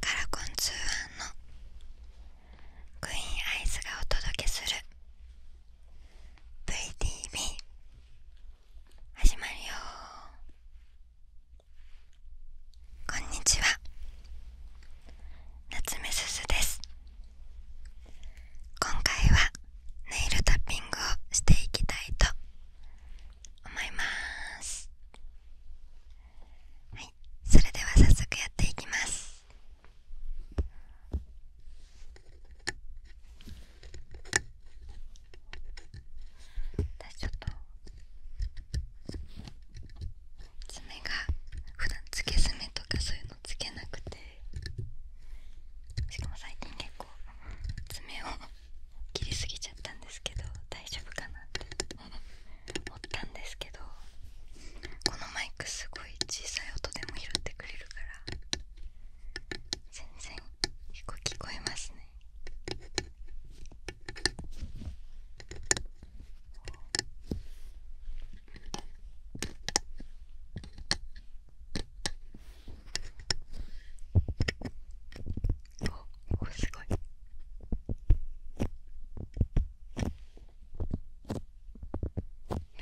カラコン通販のクイーンアイスがお届けする VTV 始まるよこんにちは夏目すすです今回はネイルタッピングをしていきたいと思いますはい、それでは早速やっていきます。私ちょっと爪が普段つけ爪とかそういうのつけなくてしかも最近結構爪を切りすぎちゃったんですけど大丈夫かなって折ったんですけどこのマイクすごい小さい音でも拾ってくれるから全然結構聞こえますねおおすごいは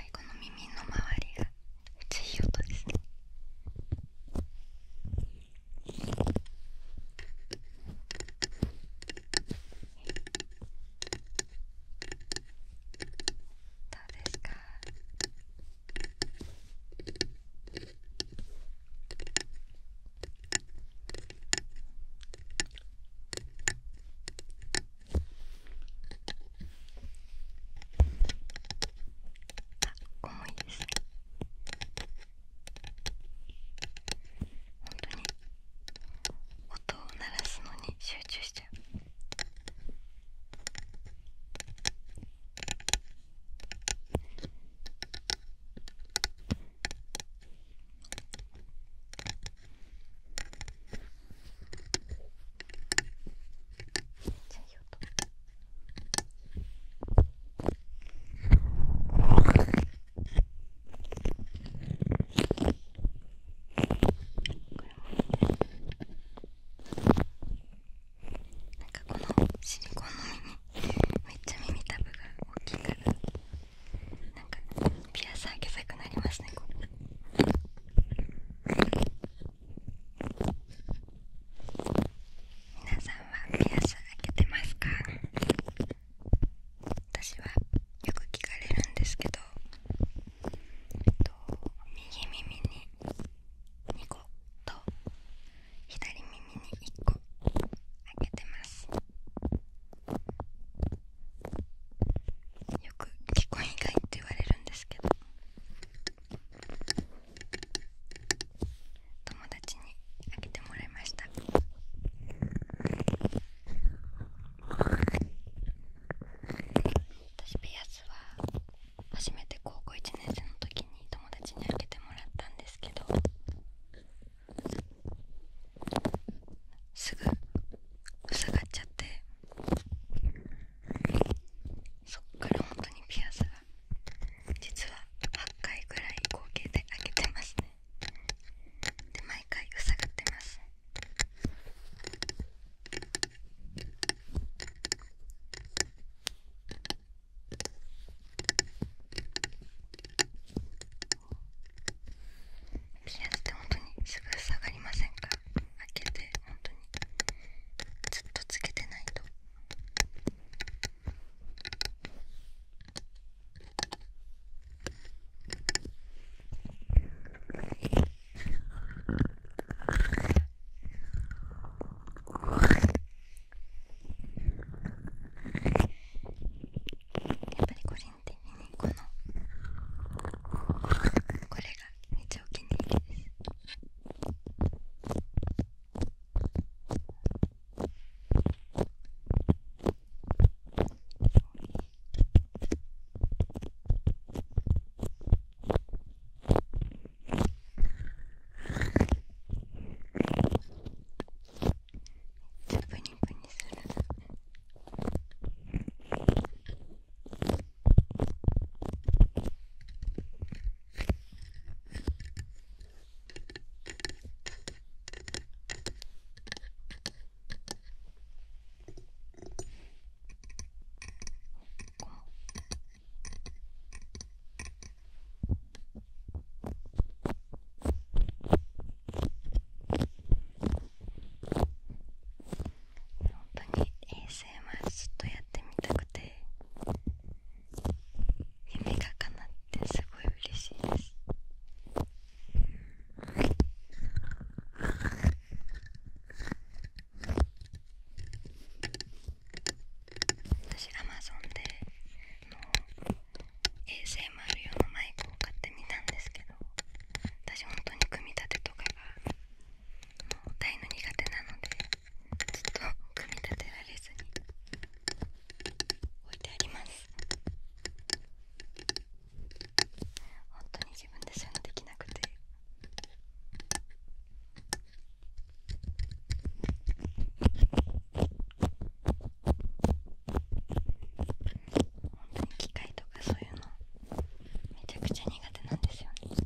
いこの耳の周りがめっちゃいい音ですねどうですかあ、重いですね本当に音を鳴らすのに集中しちゃうなんかこのシリコンの耳めっちゃ耳たぶが大きいからなんかピアス開けたくなりますねこれ。皆さんはピアス開けてますか私はよく聞かれるんですけど、と、右耳に2個と左耳に1個あけてますよく聞こえ以外って言われるんですけど友達にあけてもらいました私ピアスは初めて高校1年生の時に友達に開けてもらったんですけどすぐ塞がっちゃってそっから本当にピアスが実は8回ぐらい合計で開けてますねで毎回塞がってますピアスって本当にすぐ下がりませんか開けて本当にずっとつけてないと。やっぱり個人的にこのこれがめっちゃお気に入りですこちゃプニプニするこ本当に衛星 m r ずっとやってみたくて夢がかなってすごい嬉しいです私 Amazon での ASMR 用のマイクを買ってみたんですけど私本当に組み立てとかがもう大変苦手なのでずっと組み立てられずに置いてあります本当に自分でそうできなくて本当に機械とかそういうのめちゃくちゃ苦手なんですよね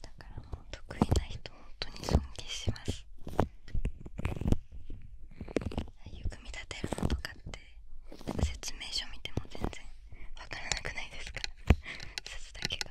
だからもう得意な人本当に尊敬しますああいう組み立てるのとかって説明書見ても全然わからなくないですか説だけが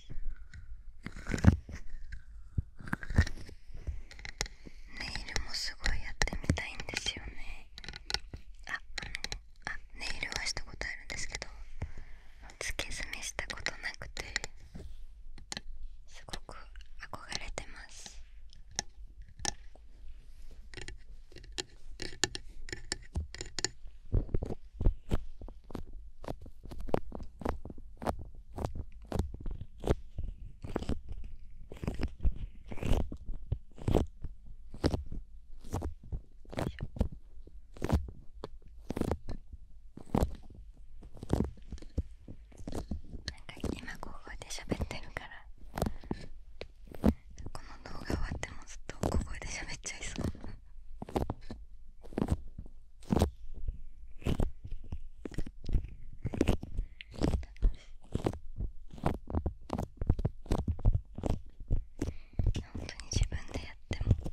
ネイルもすごいやってみたいんですよねああネイルはしたことあるんですけどつけ墨したことなくてすごく憧れてますか今ここで喋ってるからこの動画終わってもずっとここで喋っちゃいそう本当に自分でやっても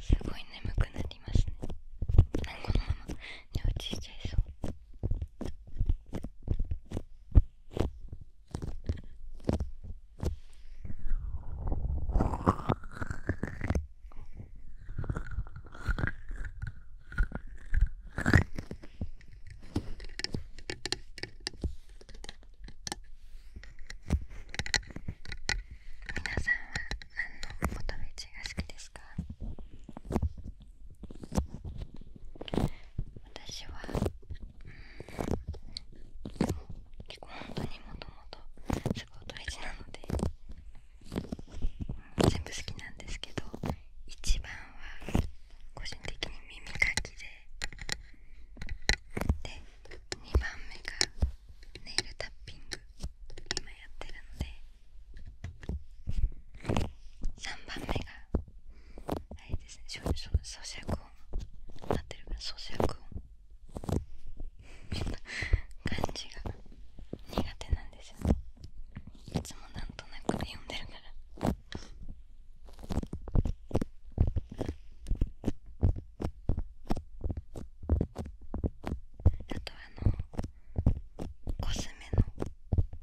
すごい眠くなりますねこのまま寝落ちしちゃいそう皆さんは何のポトフチが好きですか私は結構本当にもともとすごい音一なので、う全部好きなんですけど1番は個人的に耳かきでで2番目がネイルタッピング今やってるので3番目があれですね咀嚼音合ってるか咀嚼音みんな、漢字が苦手なんですよねいつもなんとなく読んでるからあとあのコスメの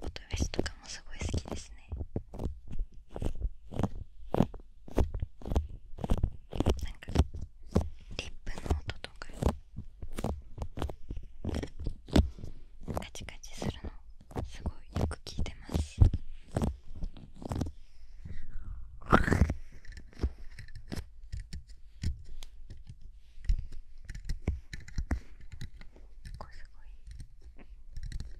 音フェとかもすごい好きですねなんかリップの音とかカチカチするのすごいよく聞いてますこれすごい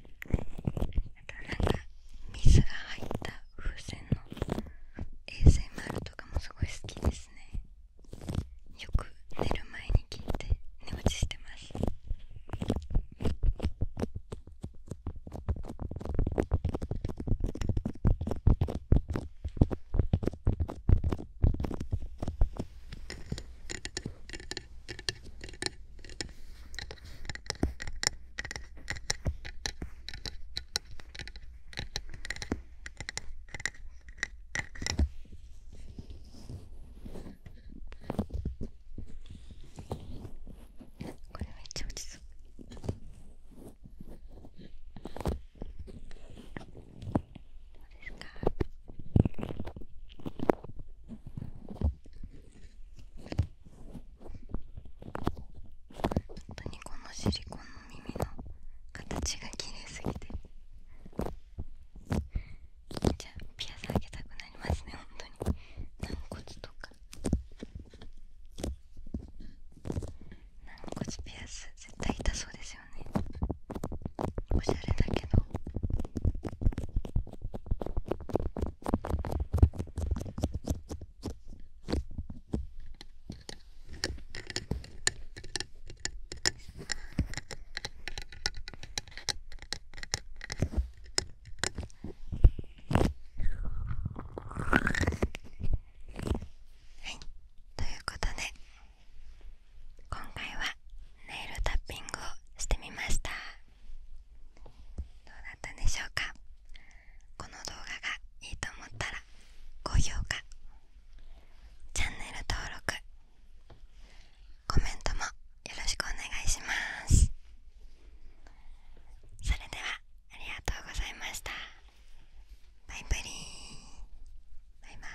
なんか水が入った風船の ASMR とかもすごい好きですねよく寝る前に切って寝落ちしてますこれめっちゃ落ちそう。どうですか当にこのシリコンの耳の形が綺麗すぎてじゃあピアスあげたくなりますね本当に軟骨とか軟骨ピアス絶対痛そうですよねおしゃれだけどということで今回はネイルタッピングをしてみましたどうだったでしょうかこの動画がいいと思ったら高評価チャンネル登録コメントもよろしくお願いしますそれではありがとうございましたバイブリーバイバイ